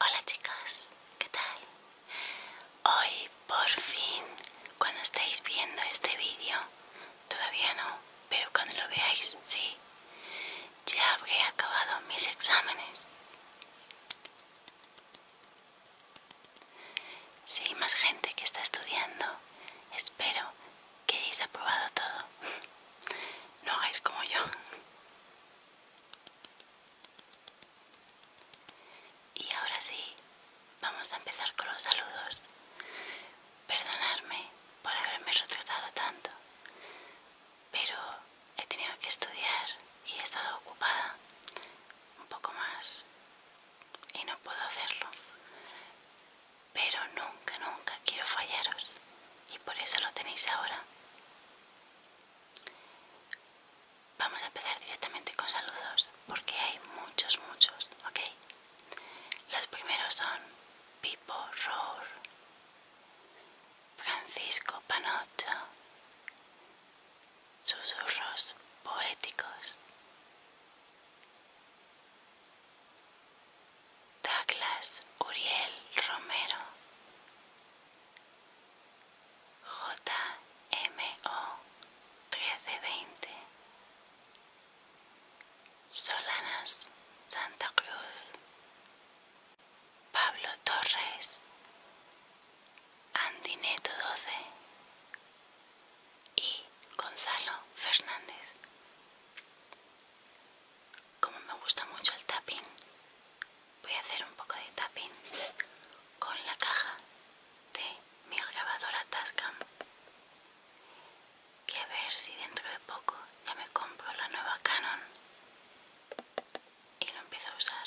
Hola chicos, ¿qué tal? Hoy por fin, cuando estáis viendo este vídeo, todavía no, pero cuando lo veáis, sí, ya habré acabado mis exámenes. Si hay más gente que está estudiando, espero que hayáis aprobado todo. No hagáis como yo. Y ahora sí, vamos a empezar con los saludos. Perdonadme por haberme retrasado tanto, pero he tenido que estudiar y he estado ocupada un poco más y no puedo hacerlo. Pero nunca, nunca quiero fallaros y por eso lo tenéis ahora. Vamos a empezar directamente con saludos porque hay muchos, muchos, ¿ok? Los primeros son Pipo Rohr, Francisco Panocho, Susurros Poéticos, Douglas Uriel Romero JMO 1320 Solanas Santa Cruz Pablo Torres Andineto 12 y Gonzalo Fernández como me gusta mucho el tapping voy a hacer un poco de tapping con la caja de mi grabadora Tascam y a ver si dentro de poco ya me compro la nueva Canon y lo empiezo a usar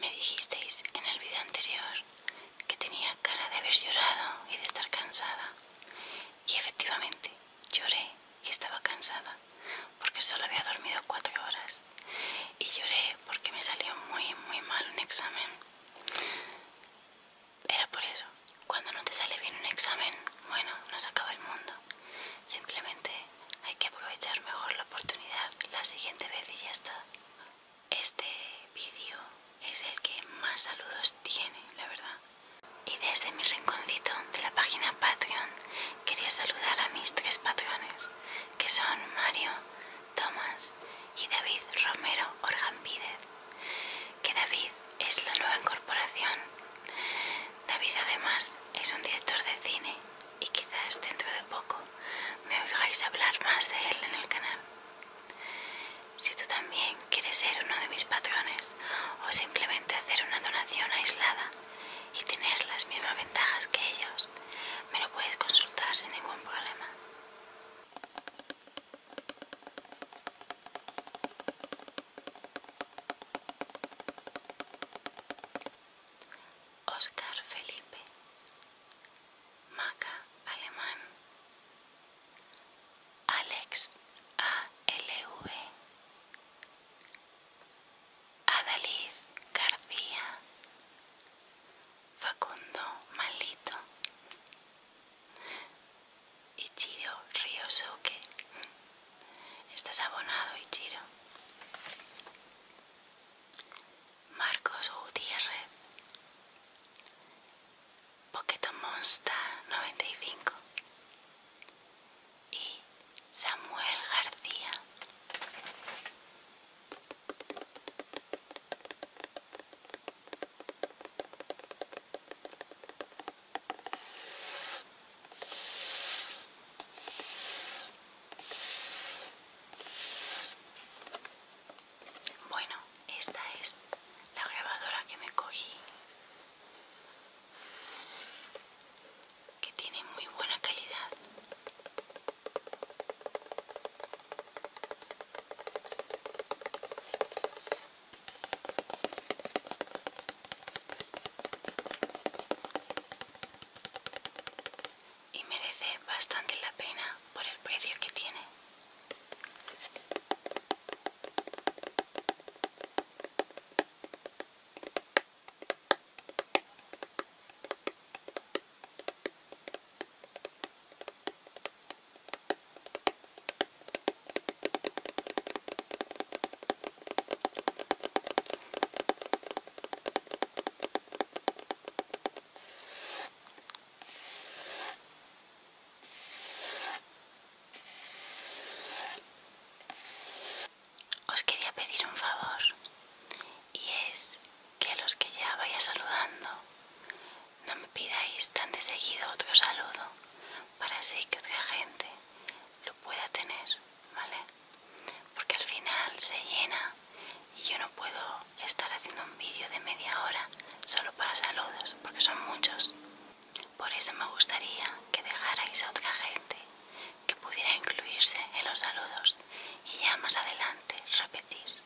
Me dijisteis en el vídeo anterior que tenía cara de haber llorado y de estar cansada. Y efectivamente, lloré y estaba cansada porque solo había dormido cuatro horas. Y lloré porque me salió muy, muy mal un examen. Era por eso. Cuando no te sale bien un examen, bueno, nos acaba el mundo. Simplemente hay que aprovechar mejor la oportunidad la siguiente vez y ya está. Este vídeo es el que más saludos tiene, la verdad. Y desde mi rinconcito de la página Patreon quería saludar a mis tres patrones, que son Mario, Tomás y David Romero Orgambide. Que David es la nueva incorporación David además es un director de cine y quizás dentro de poco me oigáis hablar más de él en el canal. Si tú también quieres ser uno de mis patrones o simplemente hacer una donación aislada y tener las mismas ventajas que ellos, me lo puedes consultar sin ningún problema. Oscar Felipe, Maca Alemán, Alex V, Adalid García, Facundo Malito, Ichiro Ryosuke. Estás abonado, Ichiro. Marcos Gutiérrez. Poqueto Monsta 95. Y Samuel García. Bueno, esta es la grabadora que me cogí, que tiene muy buena calidad y merece bastante la pena por el precio que tiene. Os quería pedir un favor y es que los que ya vaya saludando no me pidáis tan de seguido otro saludo para así que otra gente lo pueda tener, ¿vale? Porque al final se llena y yo no puedo estar haciendo un vídeo de media hora solo para saludos, porque son muchos. Por eso me gustaría que dejarais a otra gente que pudiera incluirse en los saludos y ya más adelante repetir.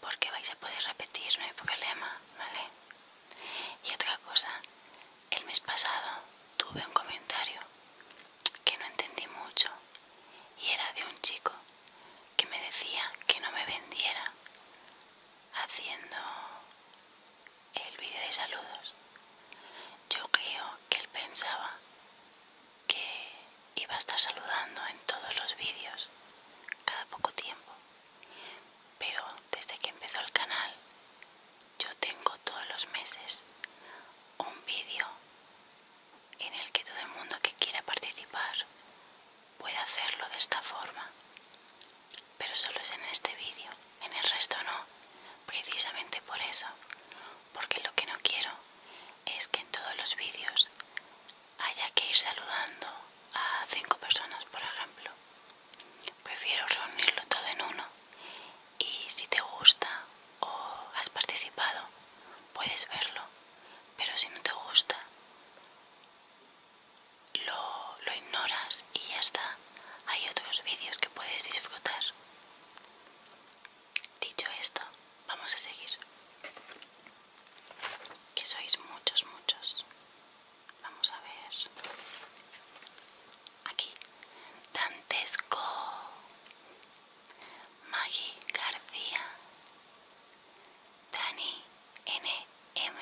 Porque vais a poder repetir, no hay problema, ¿vale? Y otra cosa, el mes pasado tuve un comentario que no entendí mucho y era de un chico que me decía que no me vendiera haciendo el vídeo de saludos. Yo creo que él pensaba que iba a estar saludando en todos los vídeos cada poco tiempo pero desde que empezó el canal yo tengo todos los meses un vídeo en el que todo el mundo que quiera participar puede hacerlo de esta forma pero solo es en este vídeo en el resto no precisamente por eso porque lo que no quiero es que en todos los vídeos haya que ir saludando a cinco personas por ejemplo Prefiero reunirlo todo en uno y si te gusta o has participado puedes verlo, pero si no te gusta lo, ignoras y ya está. Hay otros vídeos que puedes disfrutar. Dicho esto, vamos a seguir. Que sois muchos, muchos. Vamos a ver. Aquí. Dantesco. Maggie García. Dani NM.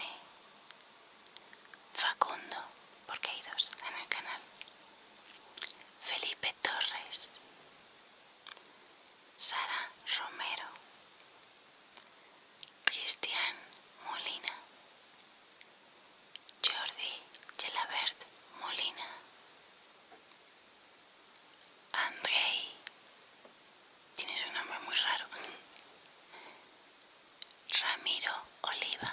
Facundo, porque hay dos en el canal. Felipe Torres. Sara Romero. Cristian Molina, Jordi Gelabert Molina, Andrei, tienes un nombre muy raro, Ramiro Oliva.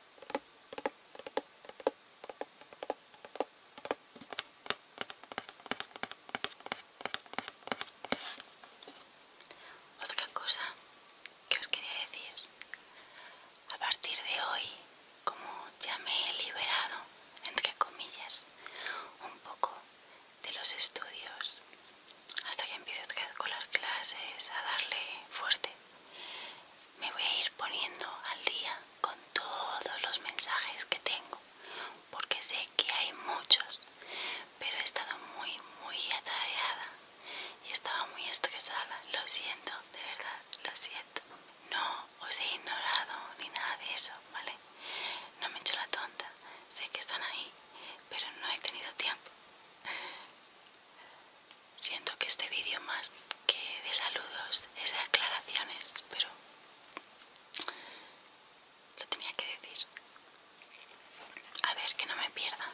Otra cosa que os quería decir, a partir de hoy, como ya me he liberado, entre comillas, un poco de los estudios, hasta que empiece a vez con las clases, a darle fuerte, me voy a ir poniendo al día con todos los mensajes que tengo porque sé que hay muchos pero he estado muy muy atareada y estaba muy estresada lo siento de verdad lo siento no os he ignorado ni nada de eso vale no me he hecho la tonta sé que están ahí pero no he tenido tiempo Siento que este vídeo más que de saludos es de aclaraciones, pero lo tenía que decir. A ver, que no me pierda.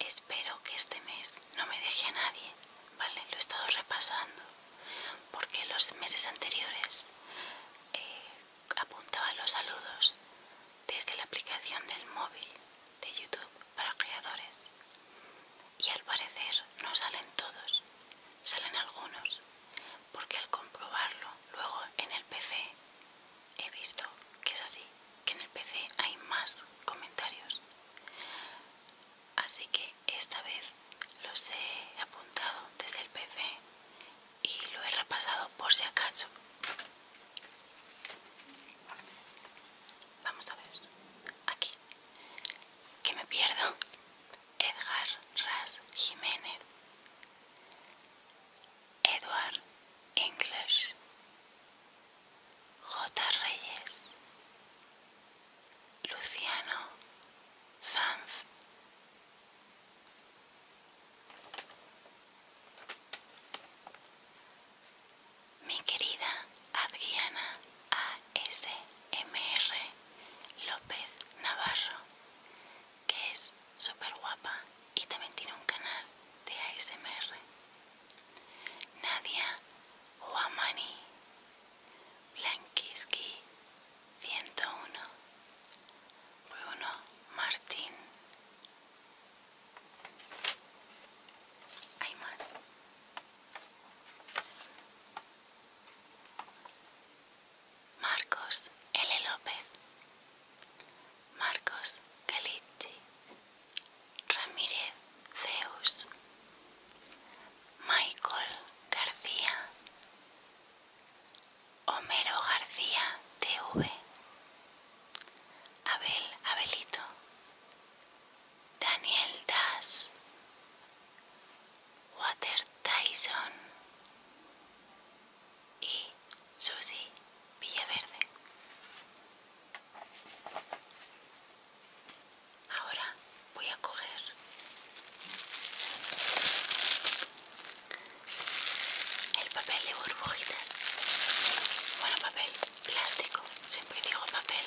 Espero que este mes no me deje a nadie, ¿vale? Lo he estado repasando porque los meses anteriores eh, apuntaba los saludos desde la aplicación del móvil de YouTube para creadores. Y al parecer no salen todos, salen algunos, porque al comprobarlo luego en el PC he visto que es así, que en el PC hay más comentarios. Así que esta vez los he apuntado desde el PC y lo he repasado por si acaso. Vamos a ver. Aquí. Que me pierdo. Edgar Ras Jiménez. Edward English. J. Reyes. Luciano Zanz, mi querida Adriana ASMR López Navarro, que es super guapa y también tiene un canal de ASMR. Nadia Huamani, Blanquiski 101, Bueno Martín, Hay más. Marcos L. López, Marcos Galici, Ramírez Zeus, Michael García, Homero García TV, Abel, Abelito, Daniel Das, Water Tyson y Susi Villaverde. Ahora voy a coger el papel de burbujitas bueno papel plástico siempre digo papel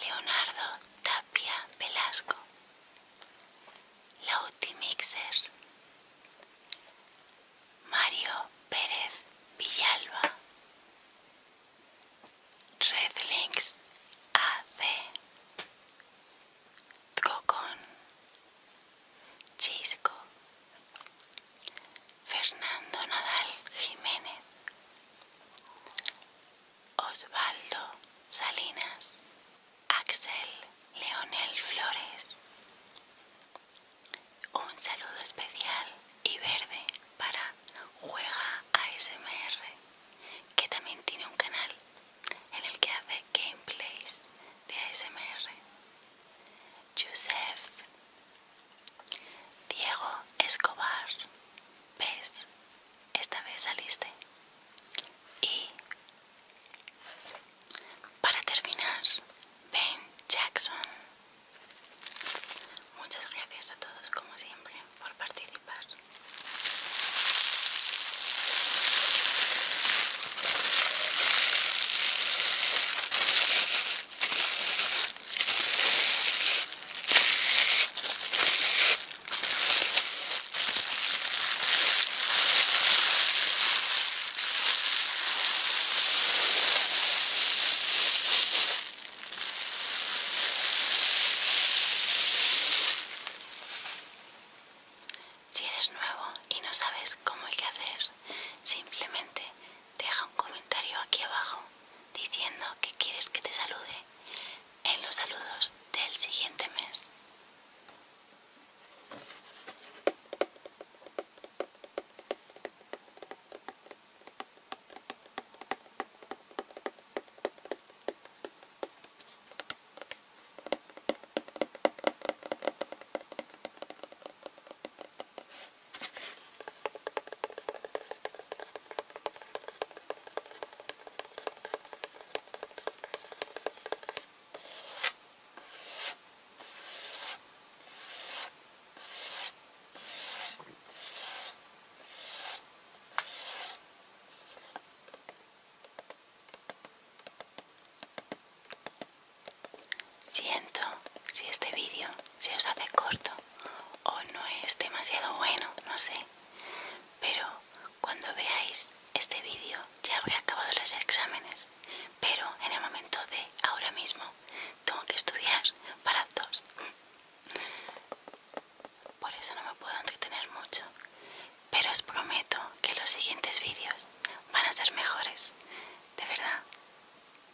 Leonardo Tapia Velasco, Lauti Mixer, Mario Pérez Villalba, Redlinks AC, Tcocón, Chisco, Fernando Nadal Jiménez, Osvaldo Salinas, Axel Leonel Flores. Un saludo especial y verde para Juega ASMR, que también tiene un canal en el que hace gameplays de ASMR. Joseph Diego Escobar, ¿ves? Esta vez saliste. Y para terminar, Ben Jackson. Muchas gracias a todos como siempre por participar. Si eres nuevo y no sabes cómo hay que hacer, simplemente Deja un comentario aquí abajo diciendo que quieres que te salude en los saludos del siguiente mes. Siento si este vídeo se os hace corto o no es demasiado bueno, no sé. Pero cuando veáis este vídeo ya habré acabado los exámenes. Pero en el momento de ahora mismo tengo que estudiar para dos. Por eso no me puedo entretener mucho. Pero os prometo que los siguientes vídeos van a ser mejores. De verdad.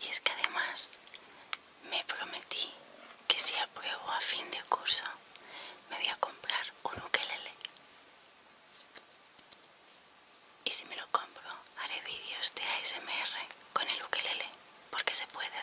Y es que además me prometí que si apruebo a fin de curso me voy a comprar un ukelele. Y si me lo compro, haré vídeos de ASMR con el ukelele, porque se puede hacer.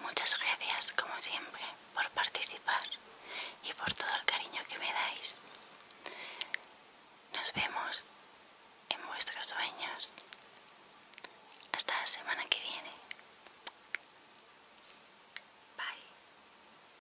Muchas gracias, como siempre, por participar y por todo el cariño que me dais. Nos vemos en vuestros sueños. Hasta la semana que viene. Bye.